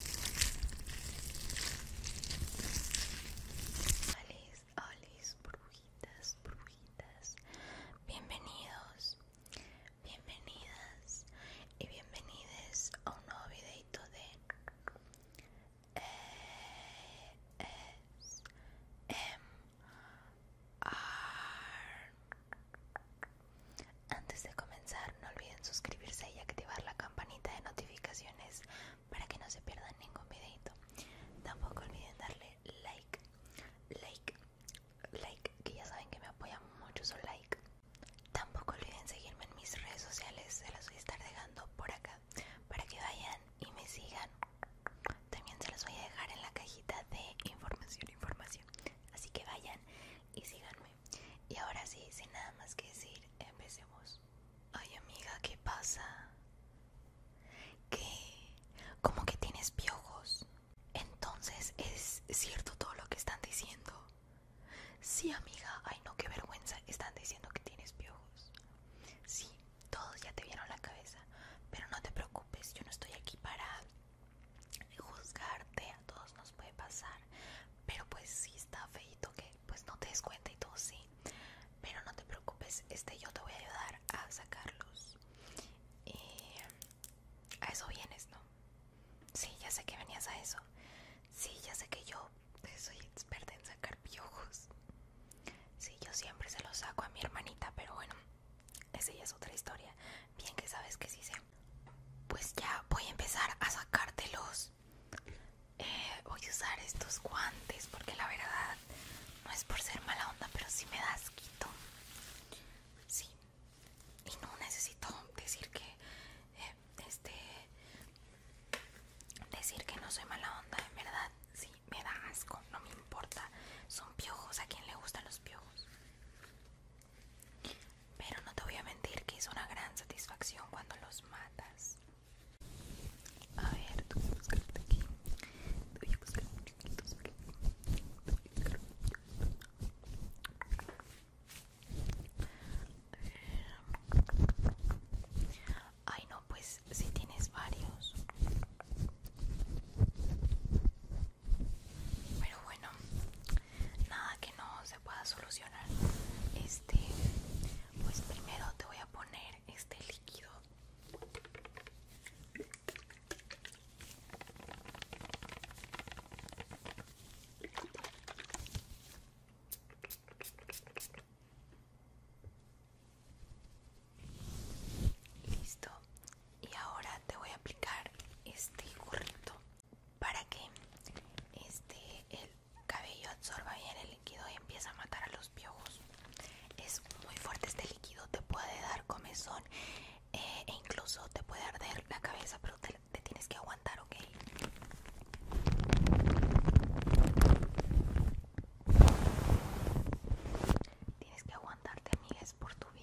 Olis, olis, brujitas, brujitas bienvenidos, bienvenidas y bienvenides a un nuevo videito de eh, -M em, -R. Antes de comenzar, no olviden suscribirse y activar la campanita de notificaciones para que no se pierdan ningún videito. Tampoco olviden darle like, like, like, que ya saben que me apoyan mucho su like. Tampoco olviden seguirme en mis redes sociales, se las voy a estar dejando por acá para que vayan y me sigan. También se las voy a dejar en la cajita de información, información. Así que vayan y síganme. Y ahora sí, sin nada más que decir, empecemos. Ay amiga, ¿qué pasa? ¿Qué? ¿Cómo que tienes piojos? Entonces es cierto todo lo que están diciendo. Sí amiga, ay no, qué vergüenza, están diciendo que tienes piojos. Sí, todos ya te vieron la cabeza, pero no te preocupes, yo no estoy aquí para juzgarte, a todos nos puede pasar, pero pues sí está feito que pues no te des cuenta y todo sí pero no te preocupes este yo te voy a ayudar a sacarlos y eh, a eso vienes no sí ya sé que venías a eso sí ya sé que yo pues, soy experta en sacar piojos sí yo siempre se los saco a mi hermanita pero bueno esa ya es otra historia bien que sabes que sí sé pues ya voy a empezar a sacártelos eh, voy a usar estos guantes porque la verdad no es por ser mala onda, pero sí me da asquito. Sí. Y no necesito decir que eh, este decir que no soy mala onda, en verdad, sí, me da asco, no me importa. Son piojos, a quien le gustan los piojos. Pero no te voy a mentir que es una gran satisfacción cuando los matas. A ver, tú aquí. Te voy buscar un Ay, no, pues si tienes varios. Pero bueno, nada que no pueda solucionar este pues primero te voy a poner este líquido Listo. Y ahora te voy a aplicar este gorrito para que este, el cabello absorba bien el líquido y empiece a matar a los piojos. Es muy fuerte este líquido, te puede dar comezón eh, e incluso te puede arder la cabeza, pero te, tienes que aguantar, ¿ok? Tienes que aguantarte, amigas, por tu bien.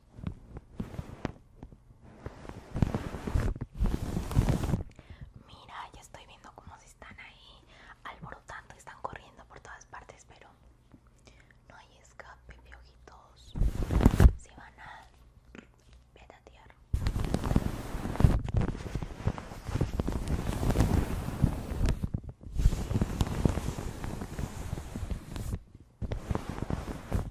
Mira, ya estoy viendo cómo se están ahí alborotando, están corriendo por todas partes, pero no hay escape, piojitos. Se van a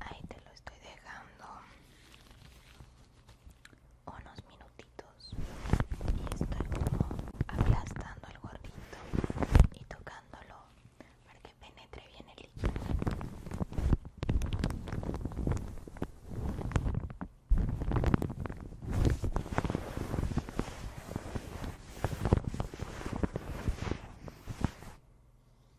Ahí te lo estoy dejando unos minutitos y estoy como aplastando el gordito y tocándolo para que penetre bien el líquido.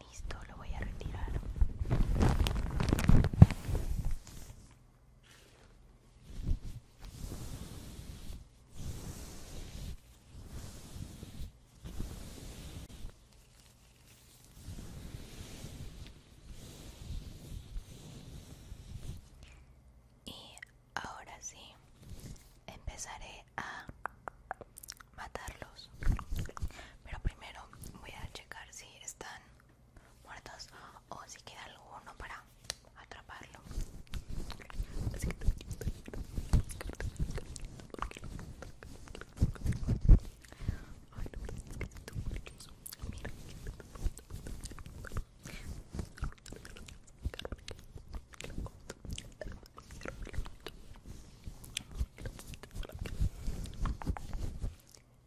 Listo, lo voy a retirar. Ahora sí, empezaré a matarlos. Pero primero voy a checar si están muertos o si queda alguno para atraparlo.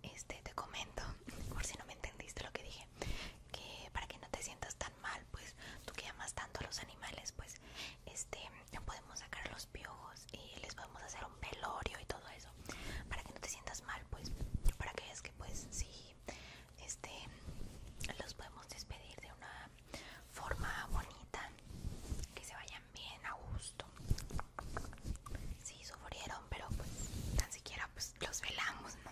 Este, te comento, por si no me entendiste lo que dije, que para que no te sientas tan mal, pues tú que amas tanto a los animales, pues este, podemos sacar los piojos y les podemos hacer un velorio y todo eso, para que no te sientas mal, pues, para que veas que pues sí este los podemos despedir de una forma bonita que se vayan bien a gusto si sí, sufrieron pero pues tan siquiera pues los velamos no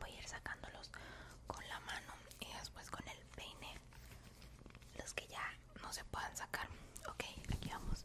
voy a ir sacándolos voy a ir sacándolos con la mano y después con el peine los que ya no se puedan sacar ok aquí vamos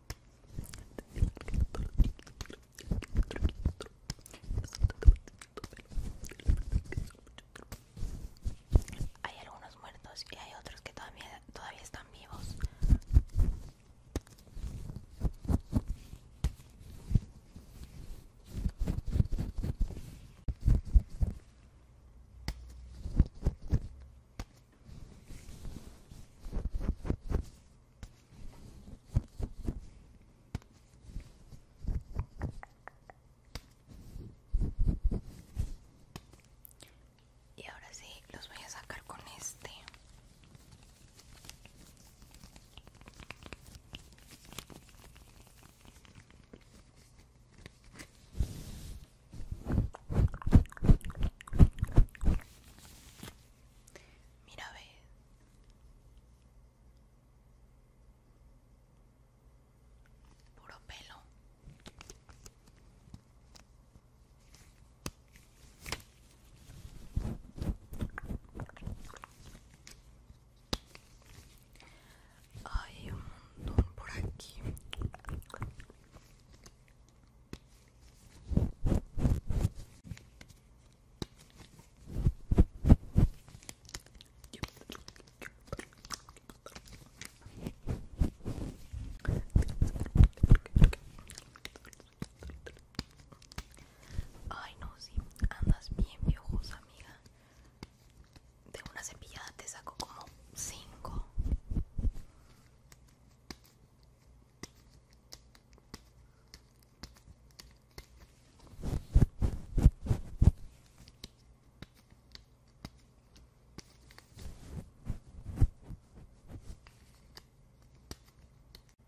Hay algunos muertos y hay otros que todavía, todavía están vivos. Y ahora sí, los voy a sacar con este. Mira, ¿ves? Puro pelo. Hay un montón por aquí. Ay no, sí. andas bien piojosa amiga De una cepillada te saco como 5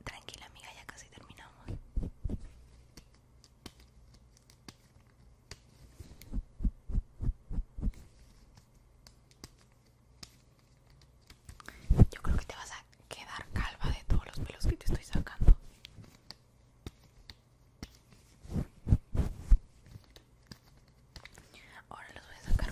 Tranquila amiga, ya casi terminamos. Yo creo que te vas a quedar calva de todos los pelos que te estoy sacando. Ahora los voy a sacar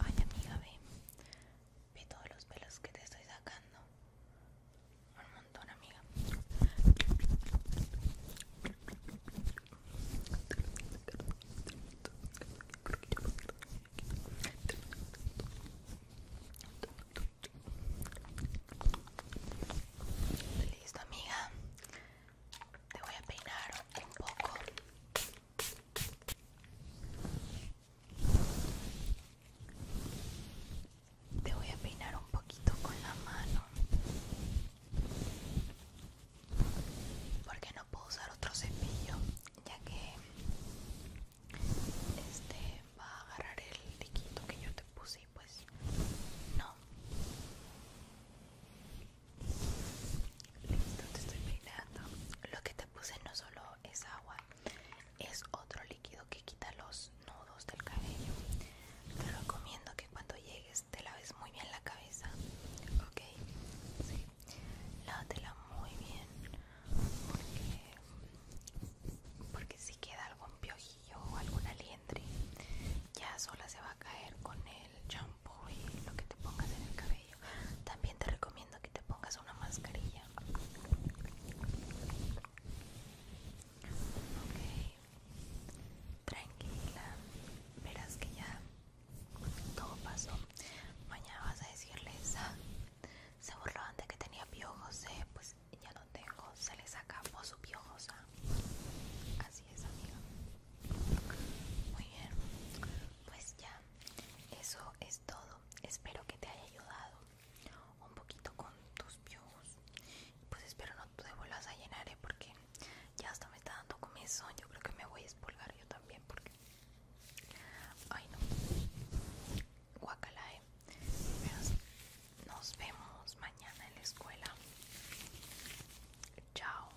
Ay amiga, ve. Ve todos los pelos que te estoy sacando. Un montón, amiga. Listo, amiga. Te voy a peinar un poco te voy a peinar un poquito con la mano. Porque no puedo usar otro cepillo, ya que este va a agarrar el diquito que yo te puse pues no. Listo, te estoy peinando. Lo que te puse no solo es agua, es otro líquido que quita los nudos del cabello. Te recomiendo que cuando llegues te laves muy bien la cabeza, ¿ok? Sí. Lávatela muy bien porque, si queda algún piojillo o alguna liendre ya sola se va a caer con él el shampoo y lo que te pongas en el cabello. También te recomiendo que te pongas una mascarilla. Ok, tranquila, verás que ya todo pasó. Mañana vas a decirles, se burlaban de que tenía piojos, eh, pues ya no tengo, se les acabó su piojosa. Así es, amigo. Muy bien, pues ya eso es todo espero que te haya ayudado un poquito con tus views pues espero no te vuelvas a llenar ¿eh? porque ya hasta me está dando comienzo yo creo que me voy a espolgar yo también porque ay no Guacalae ¿eh? nos vemos mañana en la escuela chao